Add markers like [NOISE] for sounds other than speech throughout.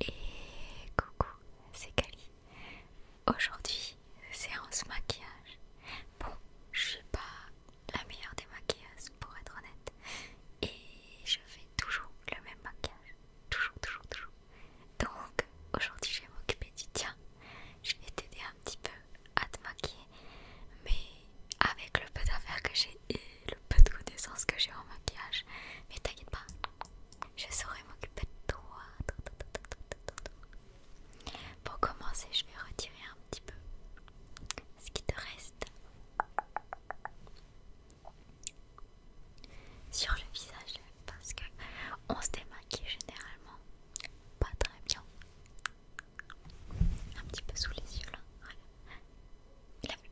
Et coucou, c'est Kali. Aujourd'hui, séance maquillage. Bon, je suis pas la meilleure des maquilleuses pour être honnête. Et je fais toujours le même maquillage. Toujours, toujours, toujours. Donc aujourd'hui, je vais m'occuper du tien. Je vais t'aider un petit peu à te maquiller. Mais avec le peu d'affaires que j'ai, et le peu de connaissances que j'ai en maquillage. Mais t'inquiète pas, je saurai m'occuper de toi. Pour commencer, je vais retirer un petit peu ce qui te reste sur le visage parce que on se démaquille généralement pas très bien. Un petit peu sous les yeux là.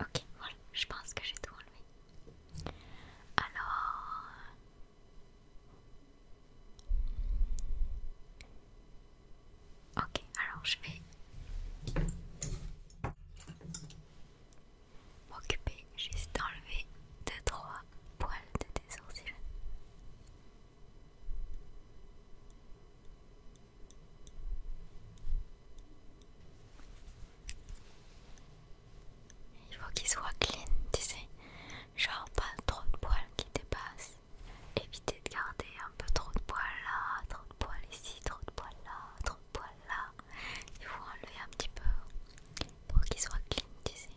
Ok, voilà, je pense que j'ai tout enlevé. Alors... Ok, alors je vais m'occuper juste d'enlever 2-3 poils de tes sourcils. Il faut qu'ils soient clean, tu sais, genre pas trop de poils qui dépassent. Éviter de garder un peu trop de poils là, trop de poils ici, trop de poils là, trop de poils là. Il faut enlever un petit peu pour qu'ils soient clean, tu sais.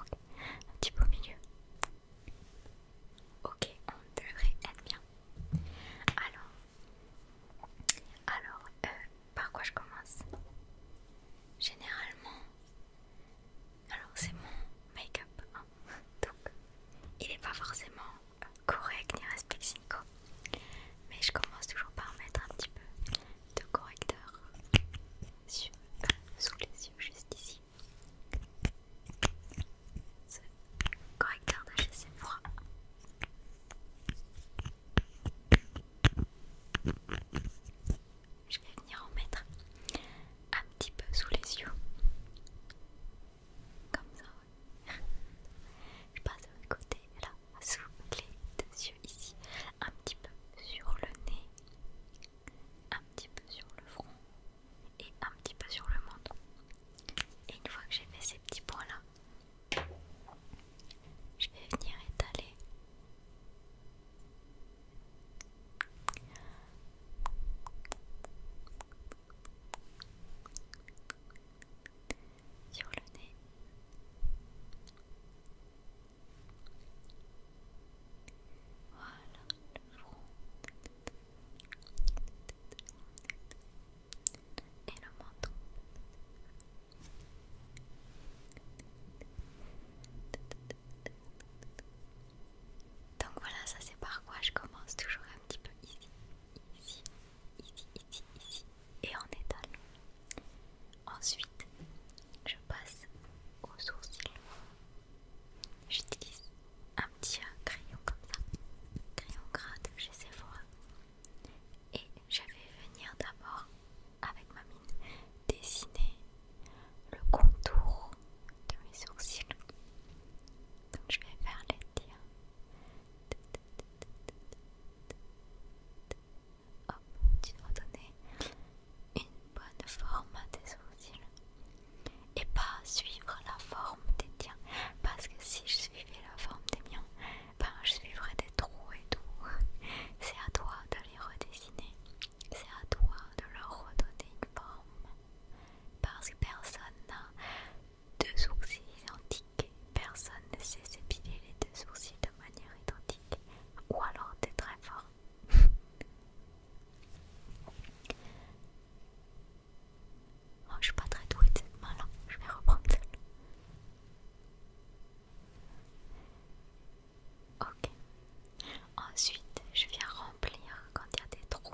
Un petit peu au milieu. Ok, on devrait être bien. Alors, alors, euh, par quoi je commence Généralement, alors c'est mon make-up, hein. donc il n'est pas forcément correct ni respectinco. Mais je commence toujours par mettre un petit peu de correcteur sous les yeux, juste ici. Ce correcteur de chez Sephora. Je vais venir en mettre un petit peu sous les yeux comme ça, [LAUGHS] Je passe de l'autre côté, là, sous les deux yeux, ici. Un petit peu sur le nez. Un petit peu sur le front. Et un petit peu sur le menton. Et une fois que j'ai fait ces petits points-là, je vais venir étaler sur le nez. Voilà, le front et le menton. Donc voilà, ça c'est par quoi je commence toujours un petit peu ici, ici, ici, ici, ici et en étale. Ensuite, je passe aux sourcils. J'utilise un petit crayon comme ça, crayon grade, de sais pas. Et je vais venir d'abord, avec ma mine, dessiner le contour de mes sourcils. Donc je vais faire les tiens tu dois donner une bonne forme à tes sourcils et pas suivre la forme des tiens parce que si je suivais la forme des miens, ben je suivrais des trous et tout. C'est à toi de les redessiner, c'est à toi de leur redonner une forme parce que personne n'a deux sourcils identiques. Personne ne sait s'épiler les deux sourcils de manière identique. Ou alors t'es très fort. Moi [LAUGHS] oh, je suis pas très douée de Je vais reprendre celle-là. Ok. Ensuite, je viens remplir quand il y a des trous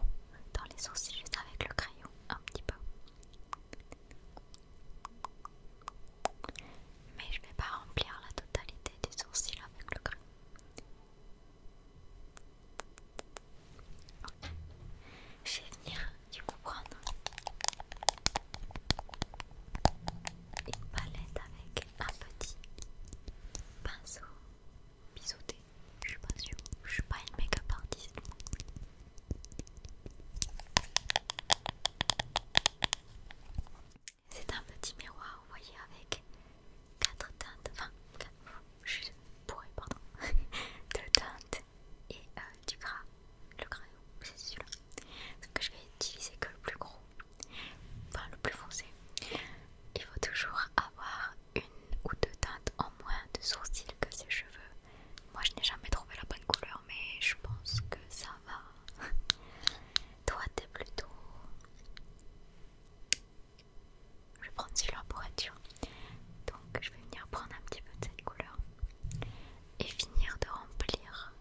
dans les sourcils juste avec le crayon, un petit peu. Mais je ne vais pas remplir la totalité des sourcils avec le crayon. Je vais venir, du coup prendre Une palette avec un petit pinceau biseauté. Je suis pas sûre, je suis pas une make-up artiste. C'est un petit miroir, vous voyez, avec quatre teintes, enfin, quatre, je suis pourrie, pardon, [LAUGHS] deux teintes et euh, du gras, le gras, c'est celui-là, que je vais utiliser que le plus gros, enfin le plus foncé. Il faut toujours avoir une ou deux teintes en moins de sourcils que ses cheveux. Moi je n'ai jamais trouvé la bonne couleur mais je pense que ça va. [LAUGHS] Toi t'es plutôt... Je vais prendre celui-là pour être Donc je vais venir prendre un petit peu de cette couleur et finir de remplir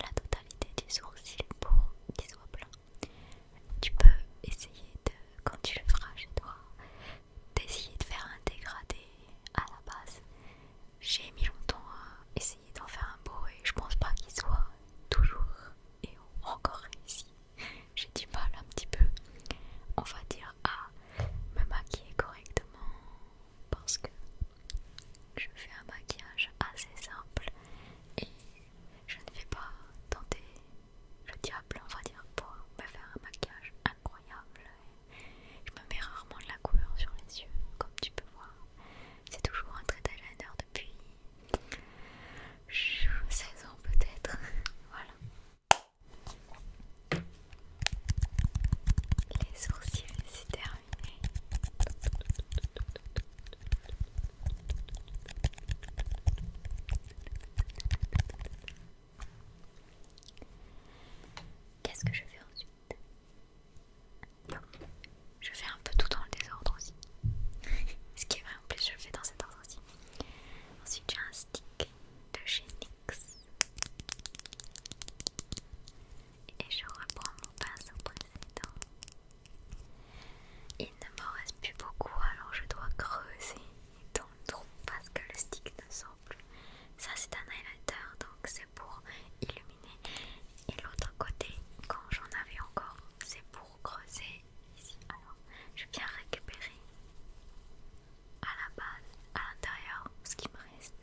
la totalité des sourcils pour des soit blancs Tu peux essayer de, quand tu le feras chez toi, d'essayer de faire un dégradé à la base. J'ai mis longtemps à essayer d'en faire un beau et je pense pas qu'il soit toujours et encore réussi. J'ai du mal un petit peu, on va dire, à me maquiller correctement parce que je fais un maquillage assez simple et je ne vais pas tenter le diable, on va dire, pour faire un maquillage incroyable. je me mets rarement de la couleur sur les yeux, comme tu peux voir. C'est toujours un trait d'eyeliner depuis 16 ans peut-être. [LAUGHS] voilà. Les sourcils, c'est terminé. Qu'est-ce que je fais ensuite je fais un peu tout dans le désordre aussi. [LAUGHS] Ce qui est vrai, en plus, je le fais dans cet ordre aussi. Ensuite, j'ai un stick de chez Et je reprends mon pinceau précédent. Il ne m'en reste plus beaucoup, alors je dois creuser dans le parce que le stick ne sort plus. Ça c'est un highlighter donc c'est pour illuminer. Et l'autre côté, quand j'en avais encore, c'est pour creuser ici. Alors je viens récupérer à la base, à l'intérieur, ce qui me reste.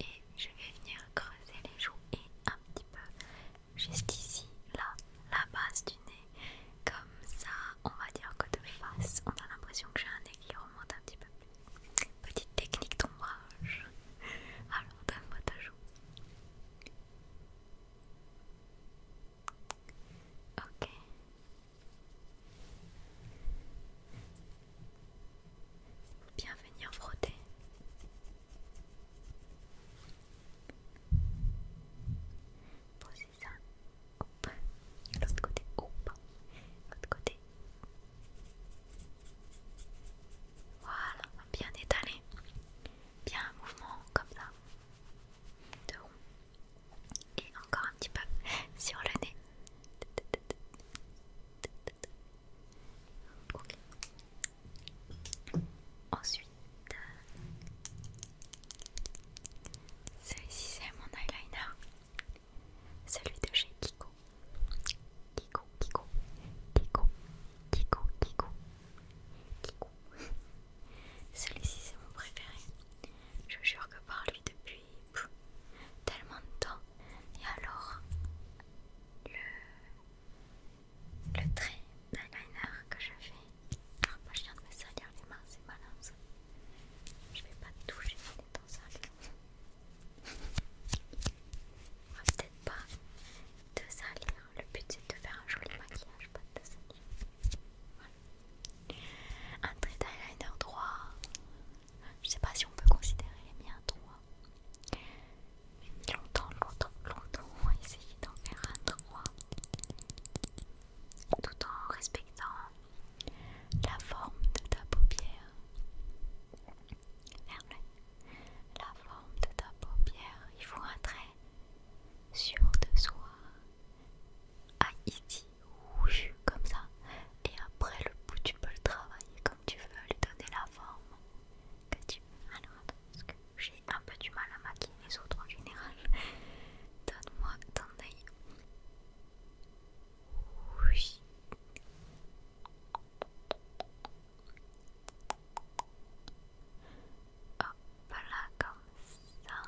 Et je vais venir creuser les joues et un petit peu jusqu'ici, là, la base du comme ça, on va dire que de face, on a l'impression que j'ai un nez qui remonte un petit peu plus. Petite technique d'ombrage. [LAUGHS] Alors, donne-moi ta joue. Ok. Bien venir frotter ça. hop, L'autre côté. hop, oh, L'autre côté. Voilà, bien étalé, Bien un mouvement comme ça. De Et encore un petit peu sur le nez. Ensuite, celui-ci c'est mon eyeliner. Celui de chez Kiko. Kiko, Kiko, Kiko, Kiko, Kiko, Kiko. [LAUGHS] Celui-ci c'est mon préféré. Je jure que par lui depuis tellement de temps. Et alors, le, le trait d'eyeliner que je fais ah, je viens de me salir les mains, c'est malin ça. Je vais pas toucher les étant sales. On va peut-être pas te salir. Le but c'est de faire un joli maquillage, pas de te salir. Voilà. Un trait d'eyeliner droit. Je sais pas si on peut considérer les miens droits. Longtemps, longtemps, longtemps, on va essayer d'en faire un droit tout en respectant la forme de ta paupière. La forme de ta paupière, il faut un trait sûr de soi. Ah, ici, comme ça. Et après le bout, tu peux le travailler comme tu veux, lui donner la forme que tu veux. Alors, attends, j'ai un peu du mal à maquiller les autres en général. [LAUGHS] Donne-moi ton œil. Oui. Hop voilà, comme ça.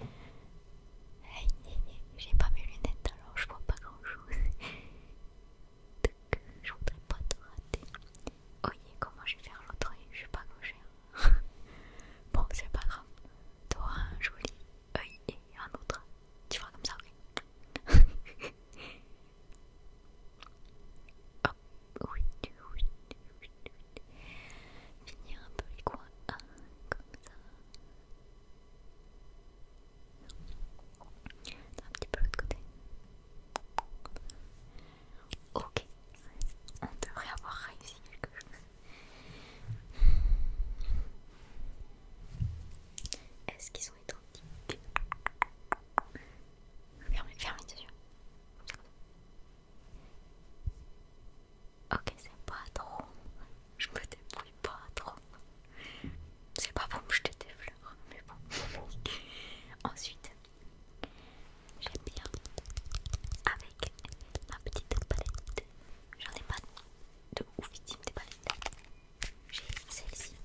[LAUGHS] J'ai pas mes lunettes alors je vois pas grand chose. Donc, [LAUGHS] je voudrais pas te rater. Oui, comment je vais faire l'autre Je vais pas manger. Hein. [LAUGHS] bon, c'est pas grave. Toi, un joli oeil et un autre. Tu feras comme ça, ok [LAUGHS] Hop, oui, oui, oui, Finir un peu les coins, hein, comme ça. Un petit peu de l'autre côté. Ok, on devrait avoir réussi quelque chose. Est-ce qu'ils sont identiques Ferme fermez les yeux. Ok, c'est pas trop. Je me débrouille pas trop. C'est pas pour me jeter des fleurs, mais bon. [LAUGHS] Ensuite, J'aime bien avec ma petite palette. J'en ai pas de ouf des palettes. J'ai celle-ci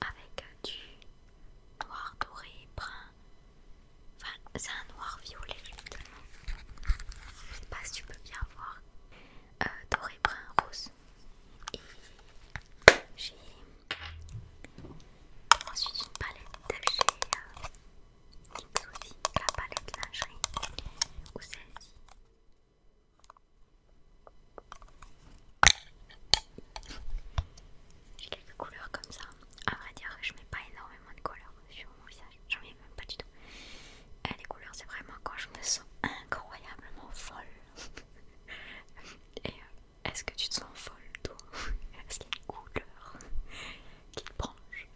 avec du noir doré, brun. Enfin, c'est un noir violet, Je sais pas si tu peux bien voir. Euh, doré, brun, rose. Et j'ai Ensuite, une palette de chez aussi, la palette lingerie ou celle-ci. J'ai quelques couleurs comme ça. A vrai dire, je mets pas énormément de couleurs sur mon visage. J'en mets même pas du tout. Et eh, les couleurs, c'est vraiment quand je me sens incroyablement folle. [LAUGHS] Euh, est-ce que tu te sens folle toi [LAUGHS] Est-ce qu'il y a une couleur qui te branche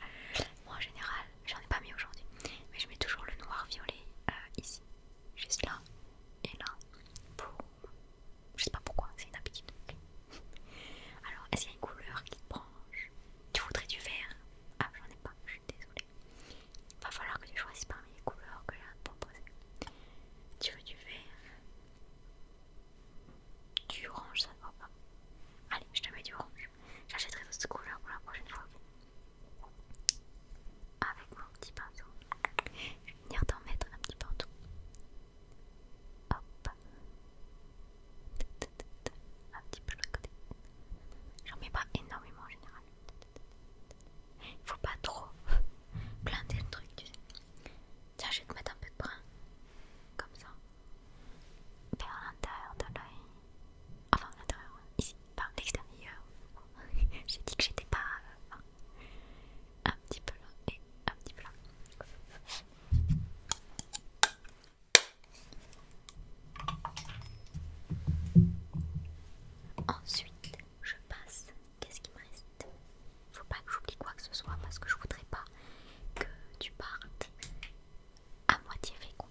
Moi en général, j'en ai pas mis aujourd'hui, mais je mets toujours le noir violet euh, ici, juste là et là. Pour... Je sais pas pourquoi, c'est une habitude. [LAUGHS] Alors, est-ce qu'il y a une couleur qui te branche Tu voudrais du vert Ah, j'en ai pas, je suis désolée. Va falloir que tu choisisses parmi les couleurs que j'ai à te proposer. Tu veux du vert Du orange, ça ne va pas. Allez, je te mets du orange. J'achèterai d'autres couleurs pour la prochaine fois. Avec mon petit pinceau. Je vais venir t'en mettre un petit partout. Hop. Un petit peu de côté. J'en mets pas énormément en général. Il faut pas trop [LAUGHS] planter le truc, tu sais. Tiens, je vais te mettre un peu de brun. Comme ça. Vers l'intérieur de l'œil. Enfin, l'intérieur, ici. Par l'extérieur. [LAUGHS] J'ai dit que j'étais pas... Euh, un petit peu là et un petit peu là. Ensuite, je passe qu'est-ce qui me reste Faut pas que j'oublie quoi que ce soit parce que je voudrais pas que tu partes à moitié fécond.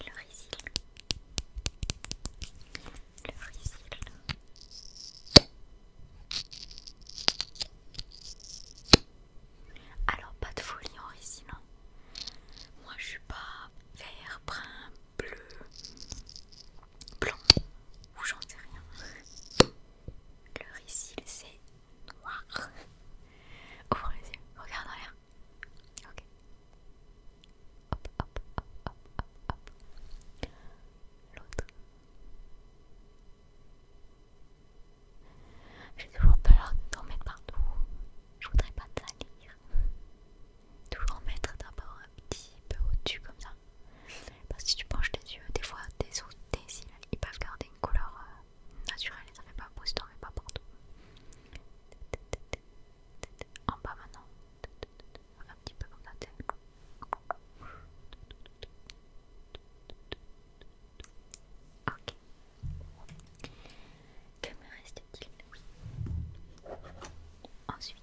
Le Rizil Le Alors pas de folie en Rizil non hein. Moi je suis pas vert, brun, bleu, blanc ou j'en sais rien. Le récil c'est noir. Ouvre les yeux, regarde en l'air. Ok. Hop, hop, hop, hop, hop, hop. L'autre. J'ai toujours peur t'en mettre partout. Je voudrais pas te salir toujours mettre d'abord un petit peu au-dessus comme ça. Parce que si tu penches tes yeux, des fois tes, tes cils ils peuvent garder une couleur euh, naturelle ils ça fait pas n'en et pas partout. En bas maintenant, un petit peu comme ça. Ok. Que me reste-t-il Oui. Ensuite,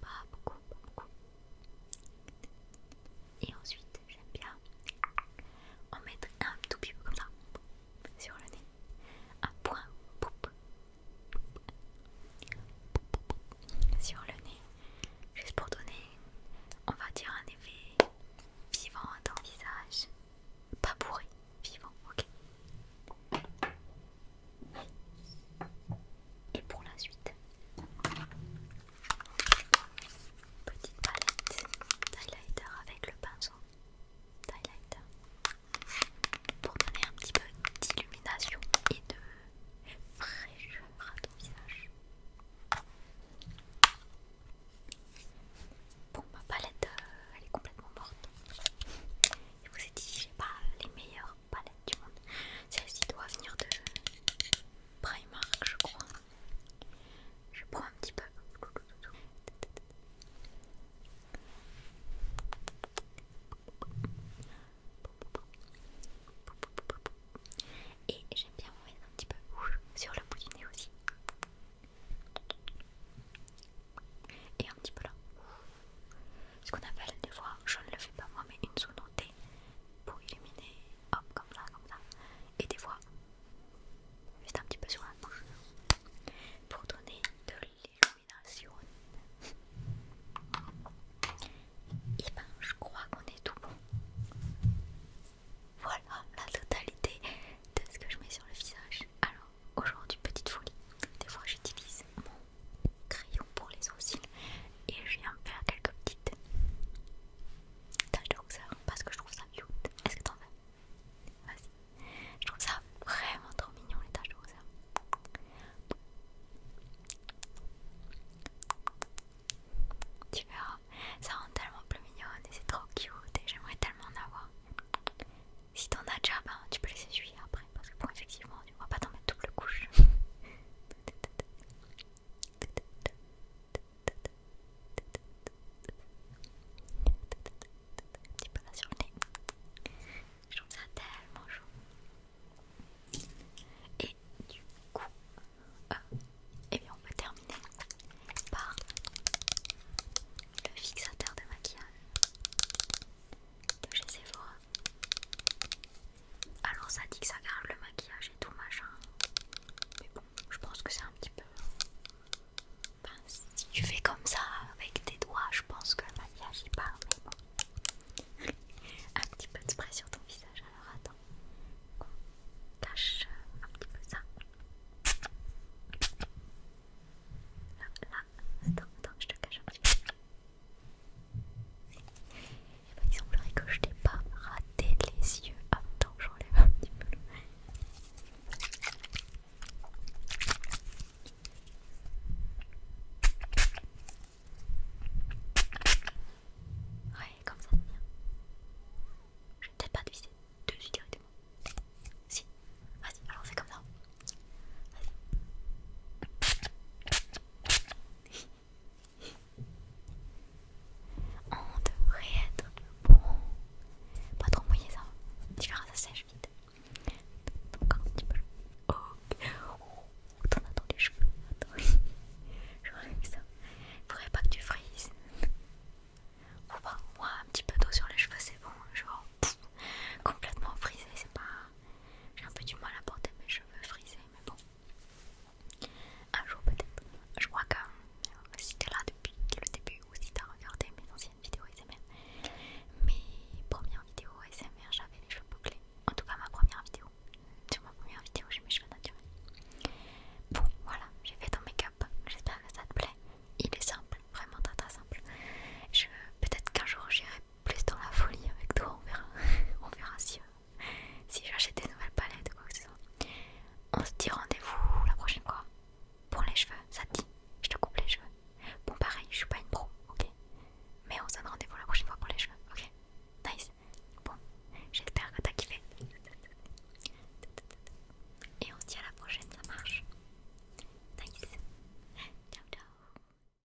Pas beaucoup, pas beaucoup. Et ensuite, j'aime bien en mettre un tout petit peu comme ça sur le nez. Un point sur le nez, juste pour donner, on va dire, un effet vivant à ton visage. Pas bourré, vivant, ok. Et pour la suite, Petite palette highlighter avec le pinceau highlighter pour donner un petit peu d'illumination et de fraîcheur à ton visage. Bon, ma palette, euh, elle est complètement morte. Je vous ai dit, j'ai pas les meilleures palette du monde. Celle-ci doit venir de Primark, je crois. Je prends un petit peu. Et j'aime bien en mettre un petit peu sur le bout du nez aussi. Et un petit peu là ce qu'on appelle des fois, je ne le fais pas moi, mais une sous pour illuminer, hop, comme ça, comme ça. Et des fois, juste un petit peu sur la bouche pour donner de l'illumination. Et eh ben, je crois qu'on est tout bon. Voilà la totalité de ce que je mets sur le visage. Alors, aujourd'hui, petite folie. Des fois, j'utilise mon crayon pour les sourcils et je viens faire quelques petites taches de rousseur parce que je trouve ça cute. Est-ce que t'en veux Vas-y. Je trouve ça vraiment trop mignon les taches de rousseur. Tu verras, ça rend tellement plus mignonne et c'est trop cute et j'aimerais tellement en avoir. Si t'en as déjà, ben, tu peux les essuyer après parce que bon, effectivement, tu ne vas pas t'en mettre double couche. [LAUGHS] Un petit peu là sur le nez. Je trouve ça tellement chaud. Et du coup, et euh, eh bien on peut terminer par le fixateur de maquillage de chez Sephora. Alors ça dit que ça garde le maquillage et tout machin. Mais bon, je pense que c'est un petit peu... si tu fais comme ça avec tes doigts, je pense que le maquillage il part. Mais bon. [LAUGHS] un petit peu de spray sur ton visage. Alors attends. cache un petit peu ça. Là, là. Attends, attends, je te cache bah, il semblerait que je n'ai pas raté les yeux. Ah, attends, je j'enlève un petit peu. Ouais, comme ça c'est bien. Je vais peut-être pas visser dessus directement. Si, vas-y, alors on fait comme ça. Vas-y. On devrait être bon. Pas trop mouillé ça. Tu verras, ça sèche vite. Encore un petit peu. Oh, t'en as dans les cheveux. Attends. [LAUGHS] Je vois ça. Faudrait pas que tu frises. Ou pas ben, moi, un petit peu d'eau sur les cheveux, c'est bon. Genre, complètement frisé, c'est pas. J'ai un peu du mal à porter mes cheveux frisés, mais bon. Un jour peut-être. Je crois que si euh, si t'es là depuis le début ou si t'as regardé mes anciennes vidéos ASMR, mes premières vidéos ASMR, j'avais les cheveux bouclés. En tout cas, ma première vidéo. Sur ma première vidéo, j'ai mes cheveux naturels. Bon, voilà, j'ai fait ton make-up. J'espère que ça te plaît. Il est simple, vraiment très très simple. Peut-être qu'un jour j'irai plus dans la folie avec toi, on verra, [LAUGHS] on verra si, euh, si j'achète des nouvelles palettes ou quoi que ce soit. On se dit rendez-vous la prochaine fois pour les cheveux, ça dit Je te coupe les cheveux. Bon pareil, je suis pas une pro, ok Mais on se donne rendez-vous la prochaine fois pour les cheveux, ok Nice. Bon, j'espère que t'as kiffé. Et on se dit à la prochaine, ça marche. Nice. Ciao ciao.